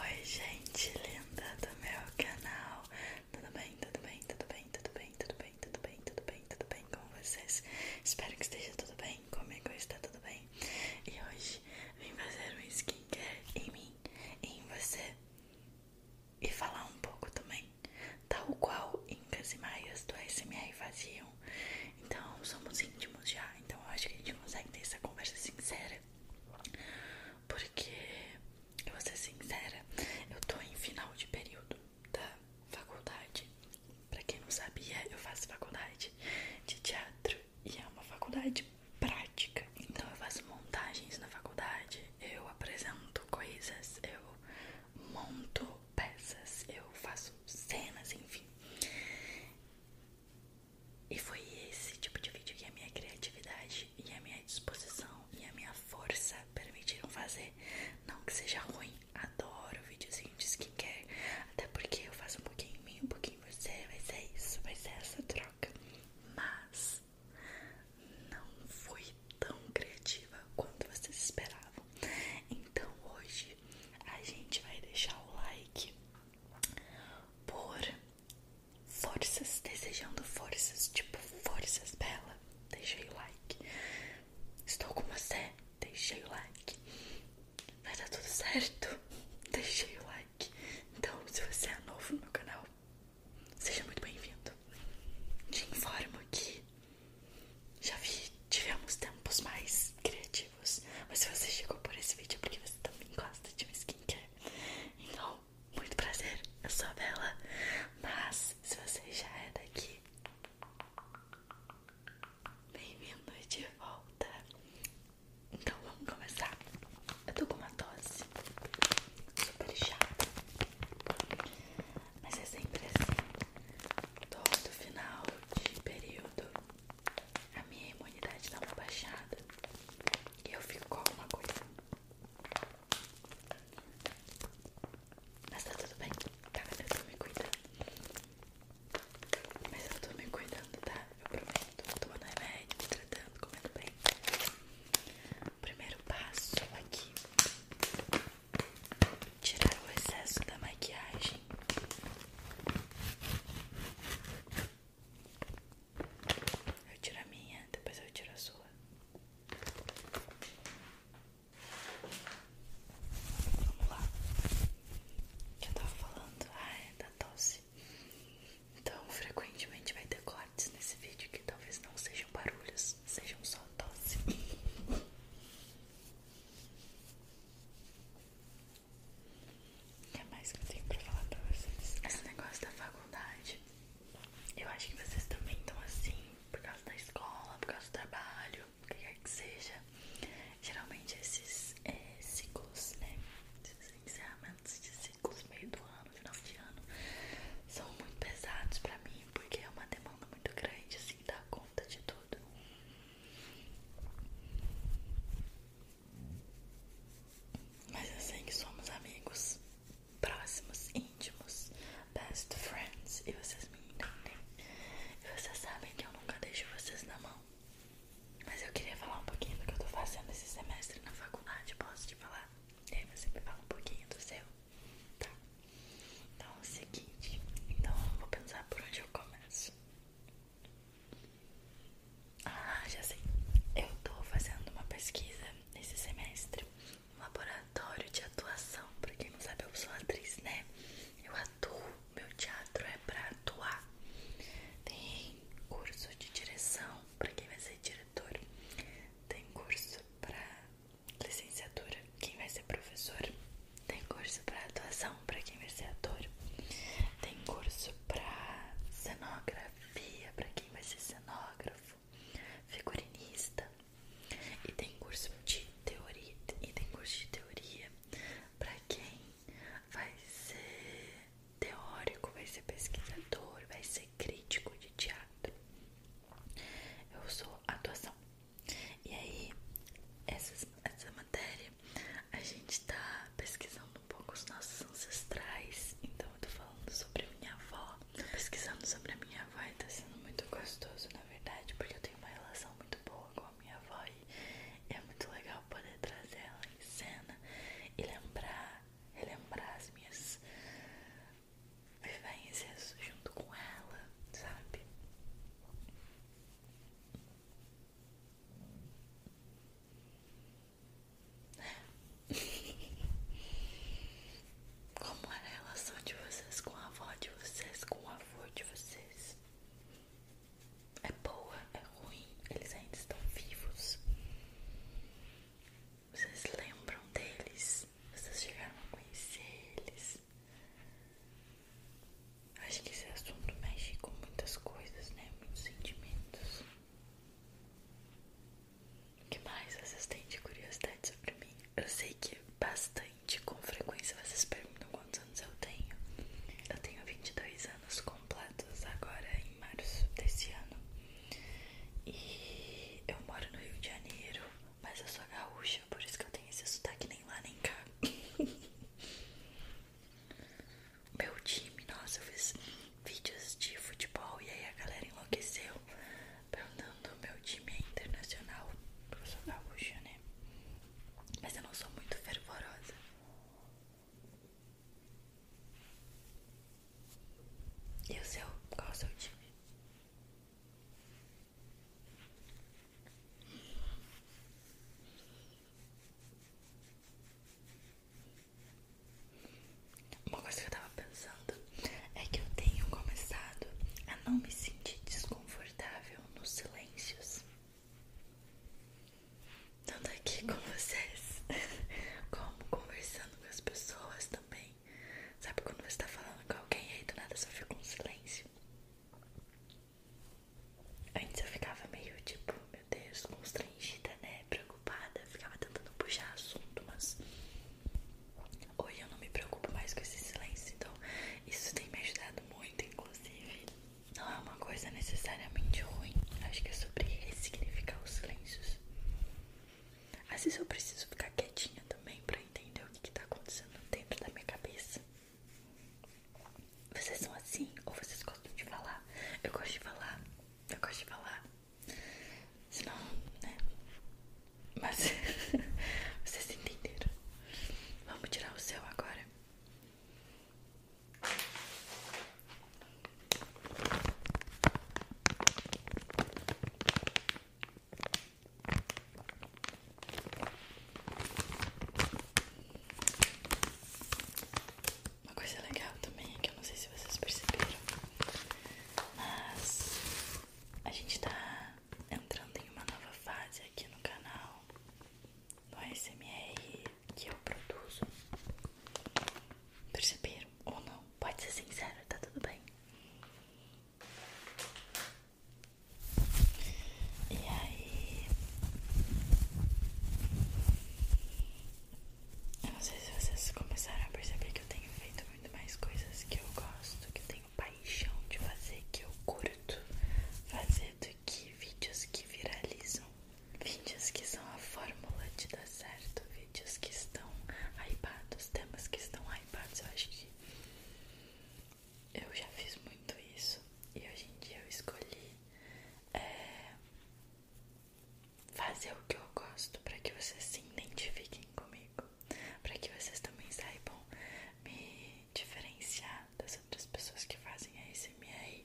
Oi gente linda do meu canal, tudo bem, tudo bem, tudo bem, tudo bem, tudo bem, tudo bem, tudo bem, tudo bem com vocês? Espero que esteja tudo bem, comigo está tudo bem E hoje vim fazer um skincare em mim, em você E falar um pouco também, tal qual Incas e Maias do ASMR faziam Então somos íntimos já, então acho que a gente consegue ter essa conversa sincera porque, eu vou ser sincera, eu tô em final de período da faculdade. Pra quem não sabia, eu faço faculdade de teatro e é uma faculdade prática. Então eu faço montagens na faculdade, eu apresento coisas, eu monto peças, eu faço cenas, enfim. E foi esse tipo de vídeo que a minha criatividade e a minha disposição e a minha força permitiram fazer. Não que seja ruim, adoro videozinho de skincare, até porque eu faço um pouquinho em mim, um pouquinho em você, vai ser isso, vai ser essa troca. Mas não foi tão criativa quanto vocês esperavam. Então hoje a gente vai deixar o like por forças, desejando forças, tipo forças, Bela, deixei o like. Estou com você, deixei o like. Vai dar tudo certo, deixei o like. Então, se você é novo no meu canal, seja muito bem-vindo. Te informo que já vi, tivemos tempos mais criativos mas se você chegou por esse vídeo é porque você também gosta de um skincare. Então, muito prazer, eu sou a Bela. Mas se você já é daqui, bem-vindo de volta. Então vamos começar. Eu tô com uma tosse super chata. Mas é sempre assim. Todo final de período a minha imunidade dá tá uma baixada e eu fico com alguma coisa. Mas tá tudo bem, tá? Eu tô me cuidando. Mas eu tô me cuidando, tá? Eu prometo. Tomando remédio, me tratando, comendo bem. primeiro passo aqui: tirar o excesso da maquiagem. Eu tiro a minha, depois eu tiro a sua. Vamos lá. O que eu tava falando? Ah, é da tosse. Então, frequentemente vai ter cortes nesse vídeo que talvez não sejam barulhos, sejam só tosse. O que mais que eu tenho pra falar pra vocês? Esse negócio da faculdade. Eu acho que vocês também estão assim, por causa da escola, por causa do trabalho, o que quer que seja. Geralmente esses é, ciclos, né? Esses encerramentos de ciclos, meio do ano, final de ano, são muito pesados pra mim, porque é uma demanda muito grande, assim, dar conta de tudo. Mas eu sei que somos amigos próximos, íntimos, best friends. E vocês me entendem. E vocês sabem que eu nunca deixo vocês na mão. Mas eu queria falar um pouquinho do que eu tô fazendo esse semestre na faculdade. Posso te falar? E aí você me fala um pouquinho do seu. Tá. Então é o seguinte. Então eu vou pensar por onde eu começo. Ah, já sei. Eu tô fazendo uma pesquisa nesse semestre. laboratório de atuação. Pra quem não sabe, eu sou atriz, né? Eu atuo. Meu teatro é pra atuar. Tem curso de direção pra quem vai ser diretor. Tem curso pra licenciatura, quem vai ser professor. Tem curso pra atuação pra de investigador. Tem curso para cenografia, para quem vai ser cenógrafo, figurinista. E tem curso de teoria, e tem curso de teoria pra quem vai ser teórico, vai ser pesquisador, vai ser crítico de teatro. Eu sou atuação. E aí, essas, essa matéria a gente tá pesquisando um pouco os nossos ancestrais. Então eu tô falando sobre a minha avó. pesquisando sobre a minha avó e tá sendo muito gostoso, na verdade, porque eu tenho uma relação muito boa com a minha avó e é muito legal poder trazer ela em cena e lembrar, relembrar as minhas vivências junto com ela, sabe? Como era é a relação de vocês com a avó de vocês, com o avô de vocês? É boa, é ruim, eles ainda estão vivos. Vocês lembram deles? Vocês chegaram a conhecer eles? Acho que esse é assunto mexe com muitas coisas, né? Muitos sentimentos. O que mais vocês têm de curiosidade sobre mim? Eu sei que bastante, com frequência, vocês perguntam quantos anos eu tenho. Eu tenho 22 anos completos agora em março desse ano. E eu moro no Rio de Janeiro, mas eu sou gaúcha, por isso que eu tenho esse sotaque nem lá nem cá. meu time, nossa, eu fiz vídeos de futebol e aí a galera enlouqueceu perguntando meu time é internacional, eu sou gaúcha, né? Mas eu não sou muito fervorosa. E o seu? Qual o seu time? Uma coisa que eu tava pensando é que eu tenho começado a não me sentir desconfortável nos silêncios. Tanto aqui com vocês, como conversando com as pessoas também. Sabe quando você tá falando com alguém e aí do nada só fica um silêncio? Antes eu ficava meio tipo, meu Deus, constrangida, né? Preocupada, ficava tentando puxar assunto, mas hoje eu não me preocupo mais com esse silêncio, então isso tem me ajudado muito, inclusive. Não é uma coisa necessariamente ruim. Acho que é sobre ressignificar os silêncios. Às vezes eu preciso ficar quietinha também pra entender o que, que tá acontecendo dentro da minha cabeça. Vocês são assim ou vocês gostam de falar? Eu gosto de falar. Eu gosto de falar. Senão, né? Mas vocês entenderam. Vamos tirar o céu agora. Uma coisa legal também é que eu não sei se vocês perceberam, mas a gente tá entrando em uma nova fase aqui no canal, no ASMR que eu produzo. Perceberam ou não? Pode ser sincero, tá tudo bem. E aí, eu não sei se vocês começaram a perceber que eu tenho feito muito mais coisas que eu gosto, que eu tenho paixão de fazer, que eu curto fazer do que vídeos que viralizam. Vídeos que são a fórmula de dar certo, vídeos que estão hypados, temas que estão hypados. Eu acho que eu já fiz muito isso e hoje em dia eu escolhi é, fazer o que eu gosto para que vocês se identifiquem comigo, para que vocês também saibam me diferenciar das outras pessoas que fazem a ASMR.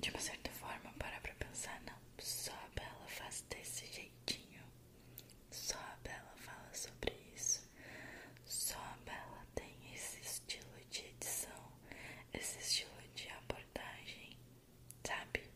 De uma certa forma, parar pra pensar, não, só a Bela faz desse jeitinho, só a Bela fala sobre isso, só a Bela tem esse estilo de edição, esse estilo de abordagem, sabe?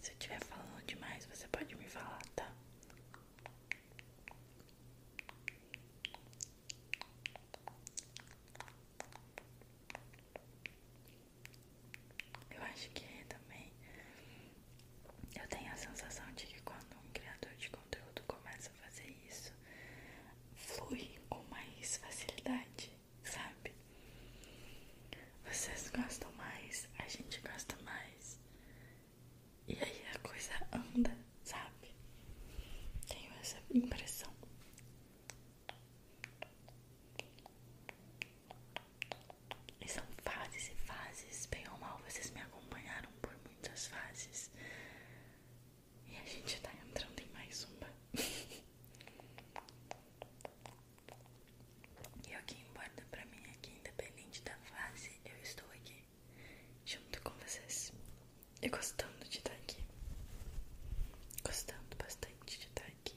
Se eu estiver falando demais, você pode me falar, tá? Eu acho que é também. Eu tenho a sensação de que quando um criador de conteúdo começa a fazer isso, flui com mais facilidade, sabe? Vocês gostam mais, a gente gosta mais. E aí a coisa anda, sabe? Tenho essa impressão. E são fases e fases, bem ou mal, vocês me acompanharam por muitas fases. E a gente tá entrando em mais uma. e o que importa pra mim aqui, é independente da fase, eu estou aqui junto com vocês. E gostando de estar aqui. Gostando bastante de estar aqui.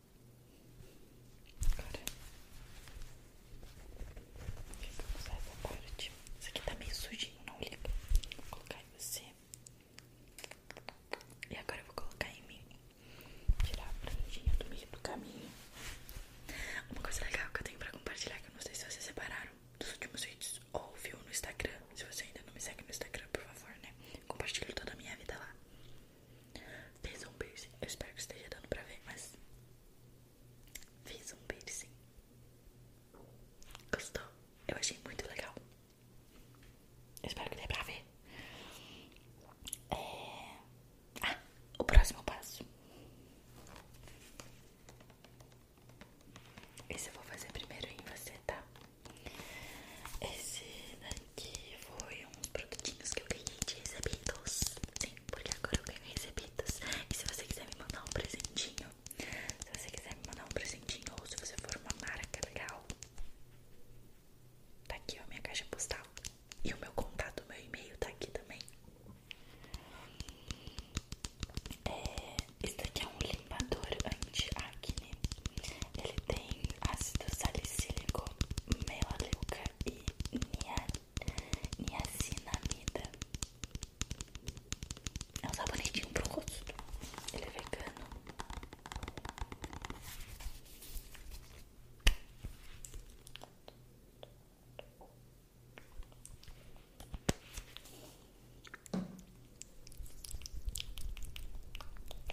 Agora, vamos usar essa parte. Isso aqui tá meio sujinho, não liga. Vou colocar em você. E agora eu vou colocar em mim. Tirar a franjinha do meio do caminho. Uma coisa legal que eu tenho pra compartilhar, que eu não sei se vocês separaram dos últimos vídeos ou viu no Instagram. Se você ainda não me segue no Instagram, por favor, né? Compartilho toda a minha vida lá. Fiz um piercing. Eu espero que esteja dando pra ver, mas. Fiz um piercing. Gostou? Eu achei muito legal. espero que dê pra ver. É... Ah, o próximo passo. Esse eu vou fazer primeiro em você, tá? Esse que foi uns produtinhos que eu ganhei de recebidos. Sim, porque agora eu ganho recebidos. E se você quiser me mandar um presentinho, se você quiser me mandar um presentinho ou se você for uma marca legal, tá aqui a minha caixa postal. E o meu contato, meu e-mail tá aqui também. É, esse daqui é um limpador anti-acne. Ele tem ácido salicílico, melaleuca e niacinamida. É um sabonetinho pro rosto. Ele é vegano.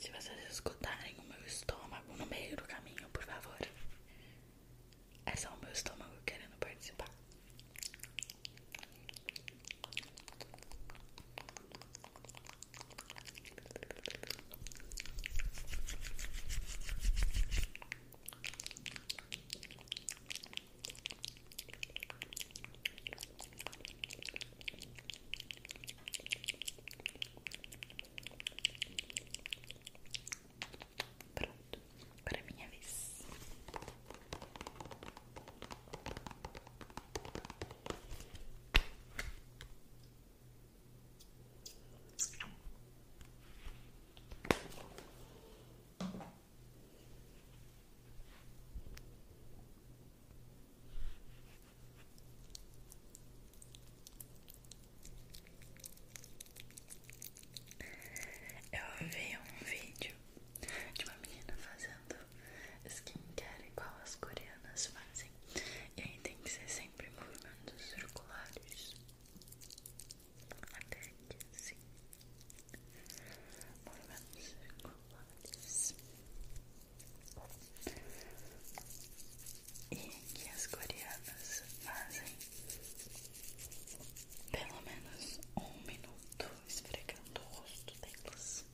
Se vocês escutarem o meu estômago no meio do caminho, por favor. É só o meu estômago querendo participar. Pronto, para minha vez. Eu vi um vídeo de uma menina fazendo skincare igual as coreanas fazem. E aí tem que ser sempre movimentos circulares. Até que assim movimentos circulares e que as coreanas fazem pelo menos um minuto esfregando o rosto delas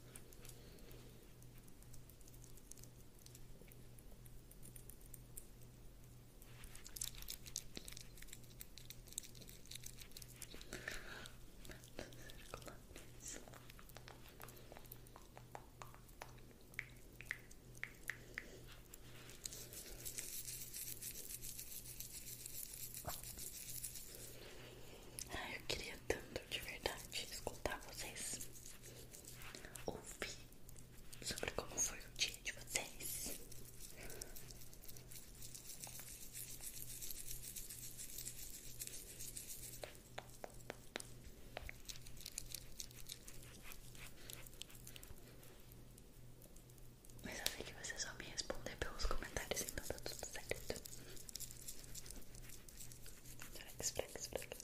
circulares. Ai, eu queria tanto de verdade escutar vocês, ouvir sobre como foi o dia de vocês. Mas eu sei que você só me responder pelos comentários, então tá tudo certo. Flex, flex, flex.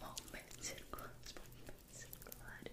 Movimentos circulares, movimentos circulares.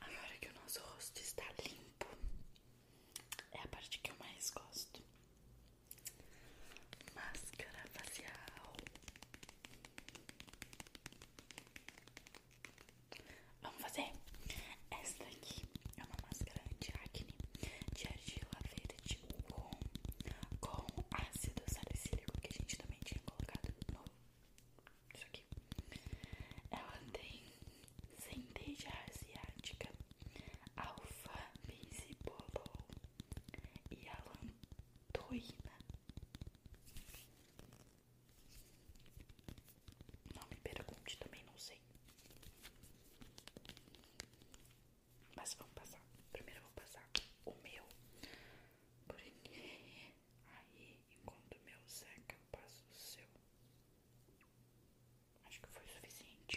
Agora que o nosso rosto está limpo, é a parte que eu mais gosto. Máscara facial. Vamos fazer? Esta aqui é uma máscara anti-acne de argila verde com, ácido salicílico que a gente também tinha colocado no... Isso aqui. Ela tem centeja asiática, alfa bizibolol e alantoína. Não me pergunte, também não sei. Mas vamos passar. Primeiro eu vou passar o meu porque aí, enquanto o meu seca, eu passo o seu. Acho que foi suficiente.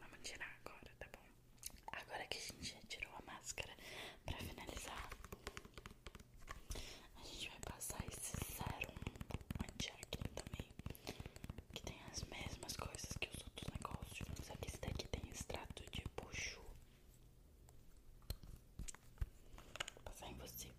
Vamos tirar agora, tá bom? Agora que a gente já tirou a máscara, pra finalizar, a gente vai passar esse sérum anti-acne também, que tem as mesmas coisas que os outros negócios, só que esse daqui tem extrato de bucho. Vou passar em você. Vou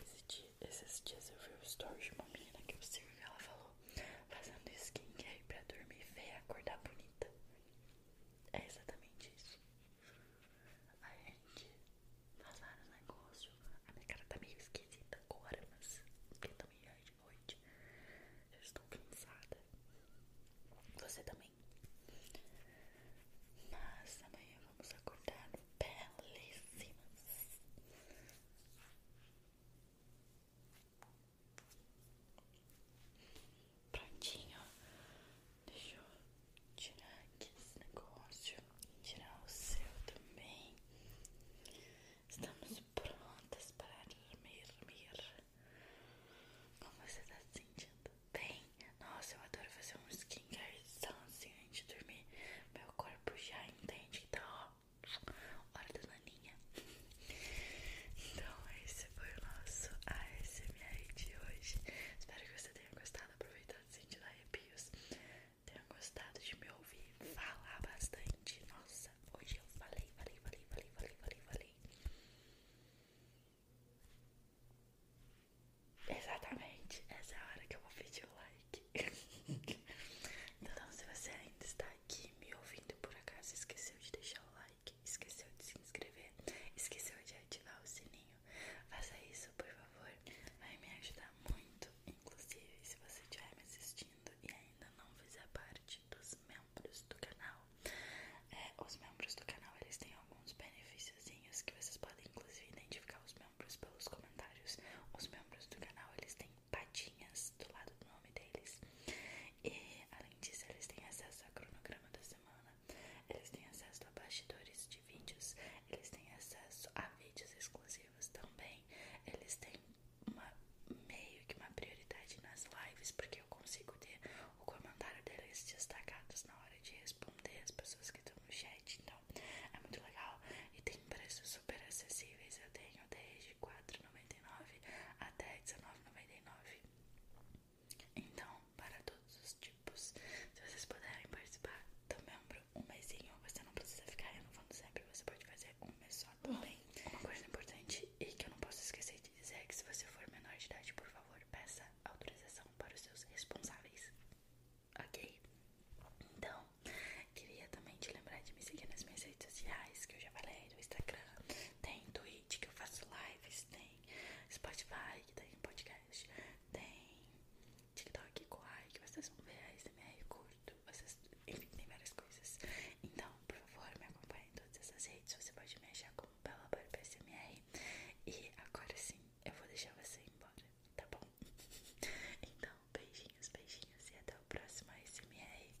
Esse dia, esses dias eu vi o story de uma menina que eu sigo e ela falou fazendo skincare pra dormir feia e acordar bonita. É exatamente isso. A gente vazar os negócio A minha cara tá meio esquisita agora, mas porque também já é de noite. eu estou cansada. Você também. Mas amanhã vamos acordar belíssimas. Prontinho, deixa eu tirar aqui esse negócio, tirar o seu também. Estamos prontas para dormir. Como você tá se sentindo? Bem? Nossa, eu adoro fazer um skincarezão assim antes de dormir. Meu corpo já entende então ó, hora da naninha. Então, esse foi o nosso ASMR de hoje. Espero que você tenha gostado, aproveitado, dar arrepios tenham gostado de me ouvir falar bastante. Nossa, hoje eu falei, falei, falei, falei, falei, falei, falei. Exatamente, essa é a hora que eu vou pedir o like. então, se você ainda está aqui me ouvindo por acaso, esqueceu de deixar o like, esqueceu de se inscrever, esqueceu de ativar o sininho. Faça isso, por favor. Vai me ajudar muito. Inclusive, se você estiver me assistindo e ainda não fizer parte dos membros do canal, é, os membros do canal eles têm alguns benefíciozinhos que vocês podem, inclusive, identificar os membros pelos comentários. Os membros do canal eles têm patinhas do lado do nome deles. E além disso, eles têm acesso ao cronograma da semana, eles têm acesso a bastidores vídeos, eles têm acesso a vídeos exclusivos também. Eles têm meio que uma prioridade nas lives, porque eu consigo ter o comentário deles destacados na hora de responder as pessoas que estão no chat. Então é muito legal e tem preços super acessíveis. Eu tenho desde R$4,99 até R$19,99. Então, para todos os tipos, se vocês puderem participar também é um mesinho, você não precisa ficar renovando sempre, você pode fazer um mês só também. Uma coisa importante e que eu não posso esquecer de dizer é que se você for menor de idade, por favor, peça autorização para os seus responsáveis. Ok? Então, queria também te lembrar de me seguir nas minhas redes sociais, que eu já falei, no Instagram, tem Twitter que eu faço lives, tem Spotify, que tem podcast, TikTok, Kawaii, que vocês vão ver a SMR curto, vocês, enfim, tem várias coisas. Então, por favor, me acompanhe em todas essas redes, você pode me achar como Bela Barba SMR. E agora sim, eu vou deixar você embora, tá bom? Então, beijinhos, beijinhos e até o próximo SMR.